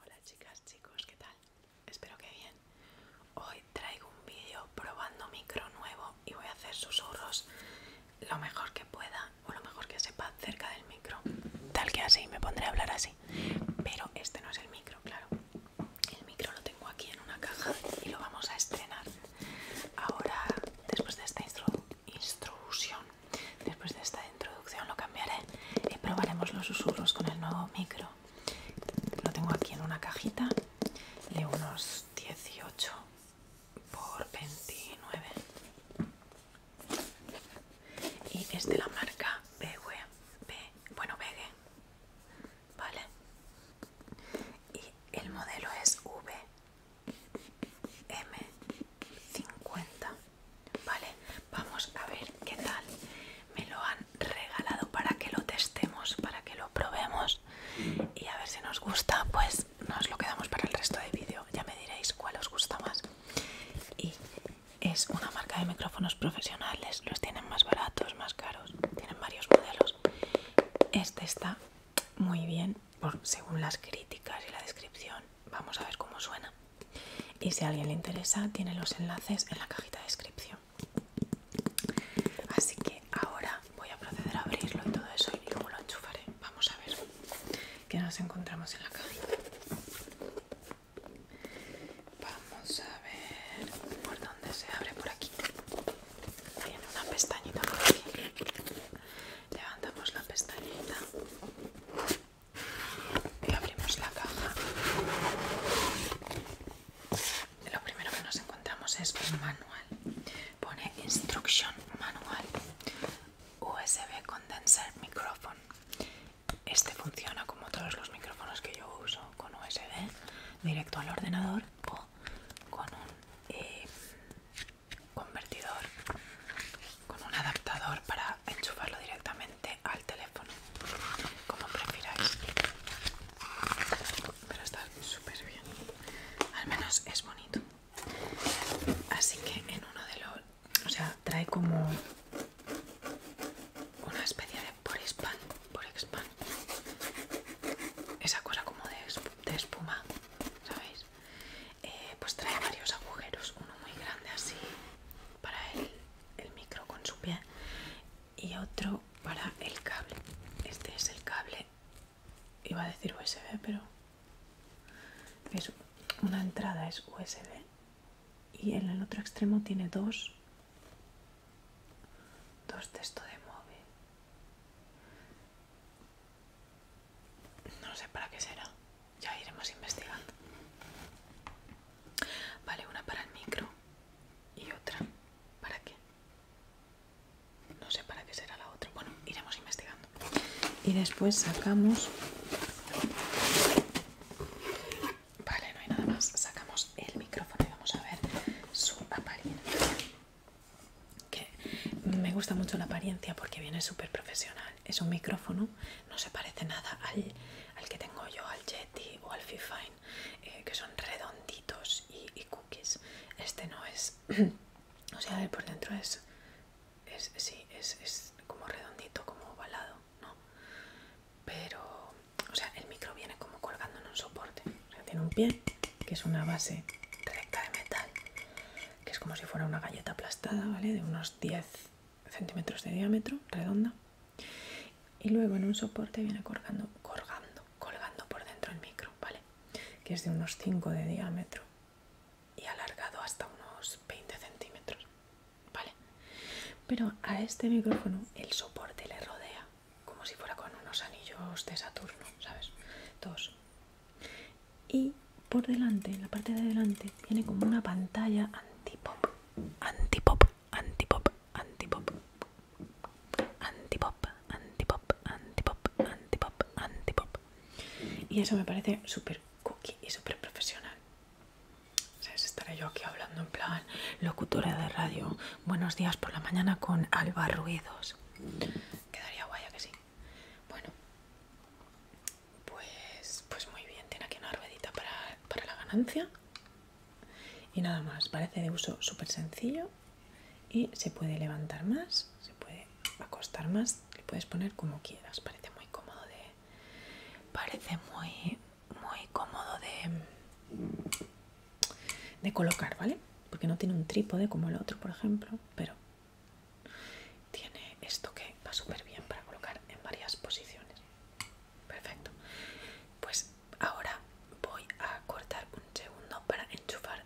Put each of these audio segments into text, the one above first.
Hola chicas, chicos, ¿qué tal? Espero que bien. Hoy traigo un vídeo probando micro nuevo y voy a hacer susurros lo mejor que pueda o lo mejor que sepa cerca del micro. Tal que así, me pondré a hablar así. Pero este no es el micro, claro. El micro lo tengo aquí en una caja y lo vamos a estrenar. Ahora, después de esta introducción Instrucción. Después de esta introducción lo cambiaré y probaremos los susurros con el nuevo micro. Lo tengo aquí en una cajita de unos 18 por 29. Y es de la marca Begue, bueno Begue, ¿vale? Y el modelo es VM. 50 vale vamos a ver qué tal me lo han regalado para que lo testemos para que lo probemos y a ver si nos gusta pues nos lo quedamos para el resto del vídeo ya me diréis cuál os gusta más y es una marca de micrófonos profesionales los tienen más baratos más caros tienen varios modelos este está muy bien según las críticas y la descripción vamos a ver cómo suena y si a alguien le interesa, tiene los enlaces en la cajita de descripción. Así que ahora voy a proceder a abrirlo y todo eso y luego lo enchufaré. Vamos a ver qué nos encontramos en la cajita. Vamos a ver por dónde se abre por aquí. Tiene una pestañita por aquí. Levantamos la pestañita y abrimos la caja. Lo primero que nos encontramos es un manual. Pone Instruction Manual USB Condenser Microphone. Este funciona como todos los micrófonos que yo uso con USB directo al ordenador o con un eh, convertidor con un adaptador para enchufarlo directamente al teléfono como prefiráis pero está súper bien al menos es bonito así que en uno de los o sea trae como una especie de por expand por expand esa cosa como de, de espuma sabéis pues, eh, pues trae varios agujeros uno muy grande así para el, micro con su pie y otro para el cable este es el cable iba a decir usb pero es una entrada es usb y en el otro extremo tiene dos dos de de móvil no sé para qué será ya iremos investigando. Vale, una para el micro y otra. ¿Para qué? No sé para qué será la otra. Bueno, iremos investigando. Y después sacamos... Vale, no hay nada más. Sacamos el micrófono y vamos a ver su apariencia. Que me gusta mucho la apariencia porque viene súper profesional es un micrófono, no se parece nada al, que tengo yo, al Yeti o al Fifine, eh, que son redonditos y, cookies. Este no es, o sea, el por dentro es, es sí, es, como redondito, como ovalado, ¿no? Pero, o sea, el micro viene como colgando en un soporte. O tiene un pie que es una base recta de metal, que es como si fuera una galleta aplastada, ¿vale? De unos 10 centímetros de diámetro, redonda. Y luego en un soporte viene colgando, colgando, colgando por dentro el micro, ¿vale? Que es de unos 5 de diámetro y alargado hasta unos 20 centímetros, ¿vale? Pero a este micrófono el soporte le rodea como si fuera con unos anillos de Saturno, ¿sabes? Dos, y por delante, en la parte de delante, tiene como una pantalla anti-pop, anti-pop, anti-pop, anti-pop, anti-pop, anti-pop, anti-pop, anti-pop, anti-pop. Y eso me parece súper cookie y súper profesional. sea, Estaré yo aquí hablando en plan locutora de radio. Buenos días por la mañana con Alba Ruidos. Quedaría guay, que sí. Bueno, pues, pues muy bien, tiene aquí una ruedita para, la ganancia. Y nada más, parece de uso súper sencillo y se puede levantar más, se puede acostar más, le puedes poner como quieras, parece muy cómodo de... Parece muy, muy cómodo de, de colocar, ¿vale? Porque no tiene un trípode como el otro, por ejemplo, pero tiene esto que va súper bien para colocar en varias posiciones. Perfecto. Pues ahora voy a cortar un segundo para enchufar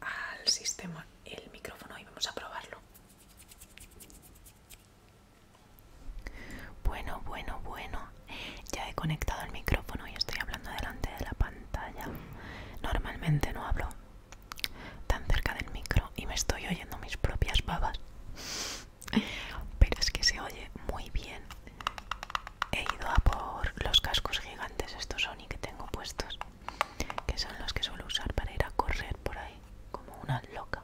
al sistema el micrófono y vamos a probarlo. Bueno, bueno, bueno. Ya he conectado el micrófono y estoy hablando delante de la pantalla. Normalmente no hablo tan cerca del micro y me estoy oyendo mis propias babas. Pero es que se oye muy bien. He ido a por los cascos gigantes, estos y que tengo puestos, que son los que suelo usar para ir a correr por ahí, como una loca.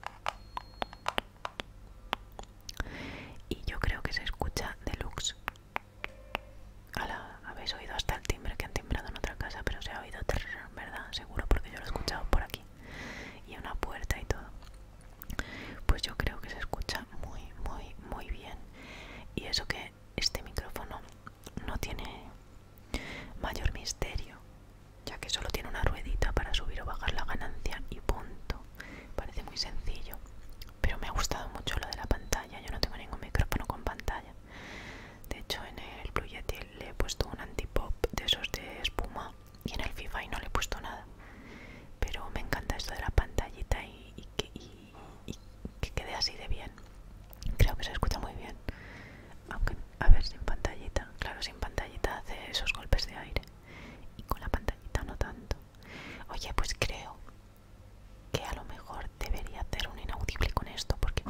Y yo creo que se escucha deluxe. habéis oído hasta el timbre que han en otra casa, pero se ha oído terror, ¿verdad? Seguro, porque yo lo he escuchado por aquí. Y una puerta y todo. Pues yo creo que se escucha muy, muy, muy bien. Y eso que este micrófono no tiene mayor misterio, ya que solo tiene una ruedita para subir o bajar la ganancia y punto. Parece muy sencillo. Pero me ha gustado mucho lo de la pantalla. Yo no tengo ningún micrófono con pantalla. De hecho, en el Blue le he puesto un antipop de esos de espuma y en el FIFA y no le he puesto nada. Pero me encanta esto de la pantallita y, que, y que quede así de bien. Creo que se escucha muy bien. Aunque, a ver, sin pantallita. Claro, sin pantallita hace esos golpes de aire. Y con la pantallita no tanto. Oye, pues creo que a lo mejor debería hacer un inaudible con esto porque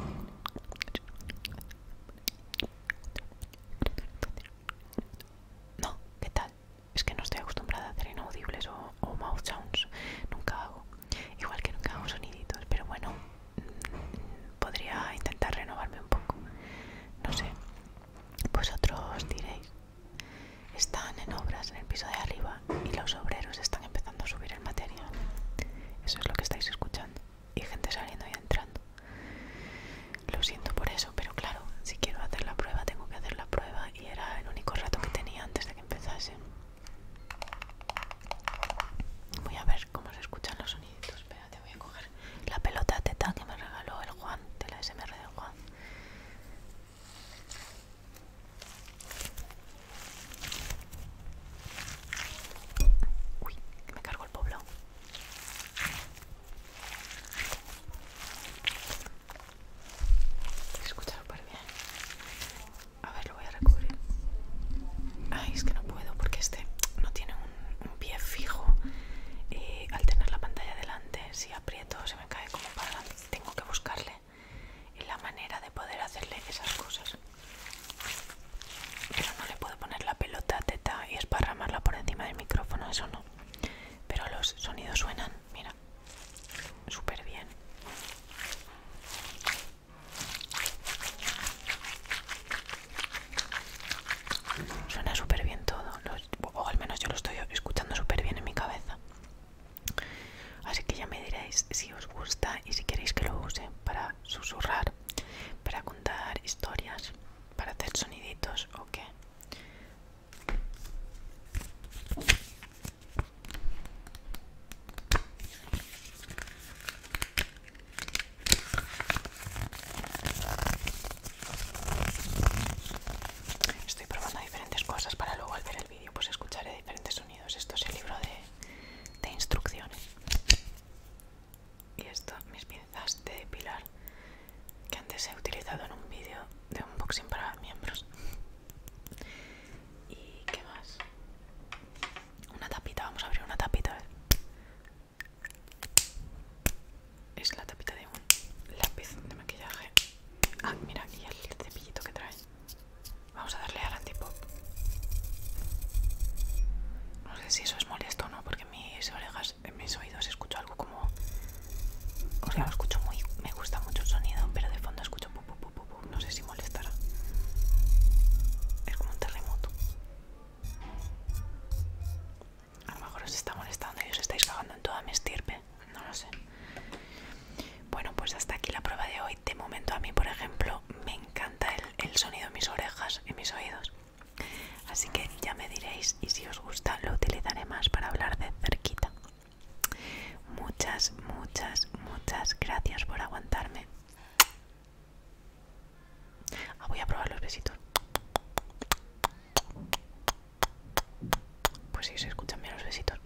no, ¿qué tal? Es que no estoy acostumbrada a hacer inaudibles o, mouth sounds. Nunca hago. Igual que nunca hago soniditos. Pero bueno, mm, podría intentar renovarme un poco. No sé. Vosotros diréis. Están en obras en el piso de arriba y los obreros están empezando a subir el material. Eso es lo que estáis escuchando y gente saliendo y entrando. Lo siento por eso, pero claro, si quiero hacer la prueba tengo que hacer la prueba y era el único rato que tenía antes de que empezase. Voy a ver cómo se escuchan los soniditos. te voy a coger la pelota teta que me regaló el Juan, de la SMR del Juan. Uy, me cargo el pueblo. escucha bien. A ver, lo voy a recubrir. Ay, es que no puedo porque este no tiene un, pie fijo. Eh, al tener la pantalla delante, si aprieto, se me cae como para adelante. Tengo que buscarle la manera de poder hacerle esas cosas. Pero no le puedo poner la pelota teta y esparramarla por encima del micrófono, eso no. Pero los sonidos suenan, mira, súper bien. Suena súper bien todo, o al menos yo lo estoy escuchando súper bien en mi cabeza. Así que ya me diréis si os gusta y si queréis que lo use para susurrar ¿Para contar historias? ¿Para hacer soniditos o qué? Estoy probando diferentes cosas para luego al ver el vídeo pues escucharé diferentes sonidos. Esto es el libro de, de instrucciones y esto mis pinzas de depilar que antes he utilizado en un vídeo de unboxing para miembros y qué más una tapita vamos a abrir una tapita es la tapita de un lápiz de maquillaje ah mira aquí el cepillito que trae Vamos a darle al antipop. No sé si eso es molesto o no, porque en mis orejas, en mis oídos escucho algo como... O sea, lo escucho muy... Me gusta mucho el sonido, pero de fondo escucho... Pu, No sé si molestará. Es como un terremoto. A lo mejor os está molestando y os estáis cagando en toda mi estirpe. No lo sé. Bueno, pues hasta aquí la prueba de hoy. De momento a mí, por ejemplo, me encanta el el sonido en mis orejas, en mis oídos. Así que ya me diréis y si os gusta lo utilizaré más para hablar de cerquita. Muchas, muchas, muchas gracias por aguantarme. Ah, voy a probar los besitos. Pues si se escuchan bien los besitos.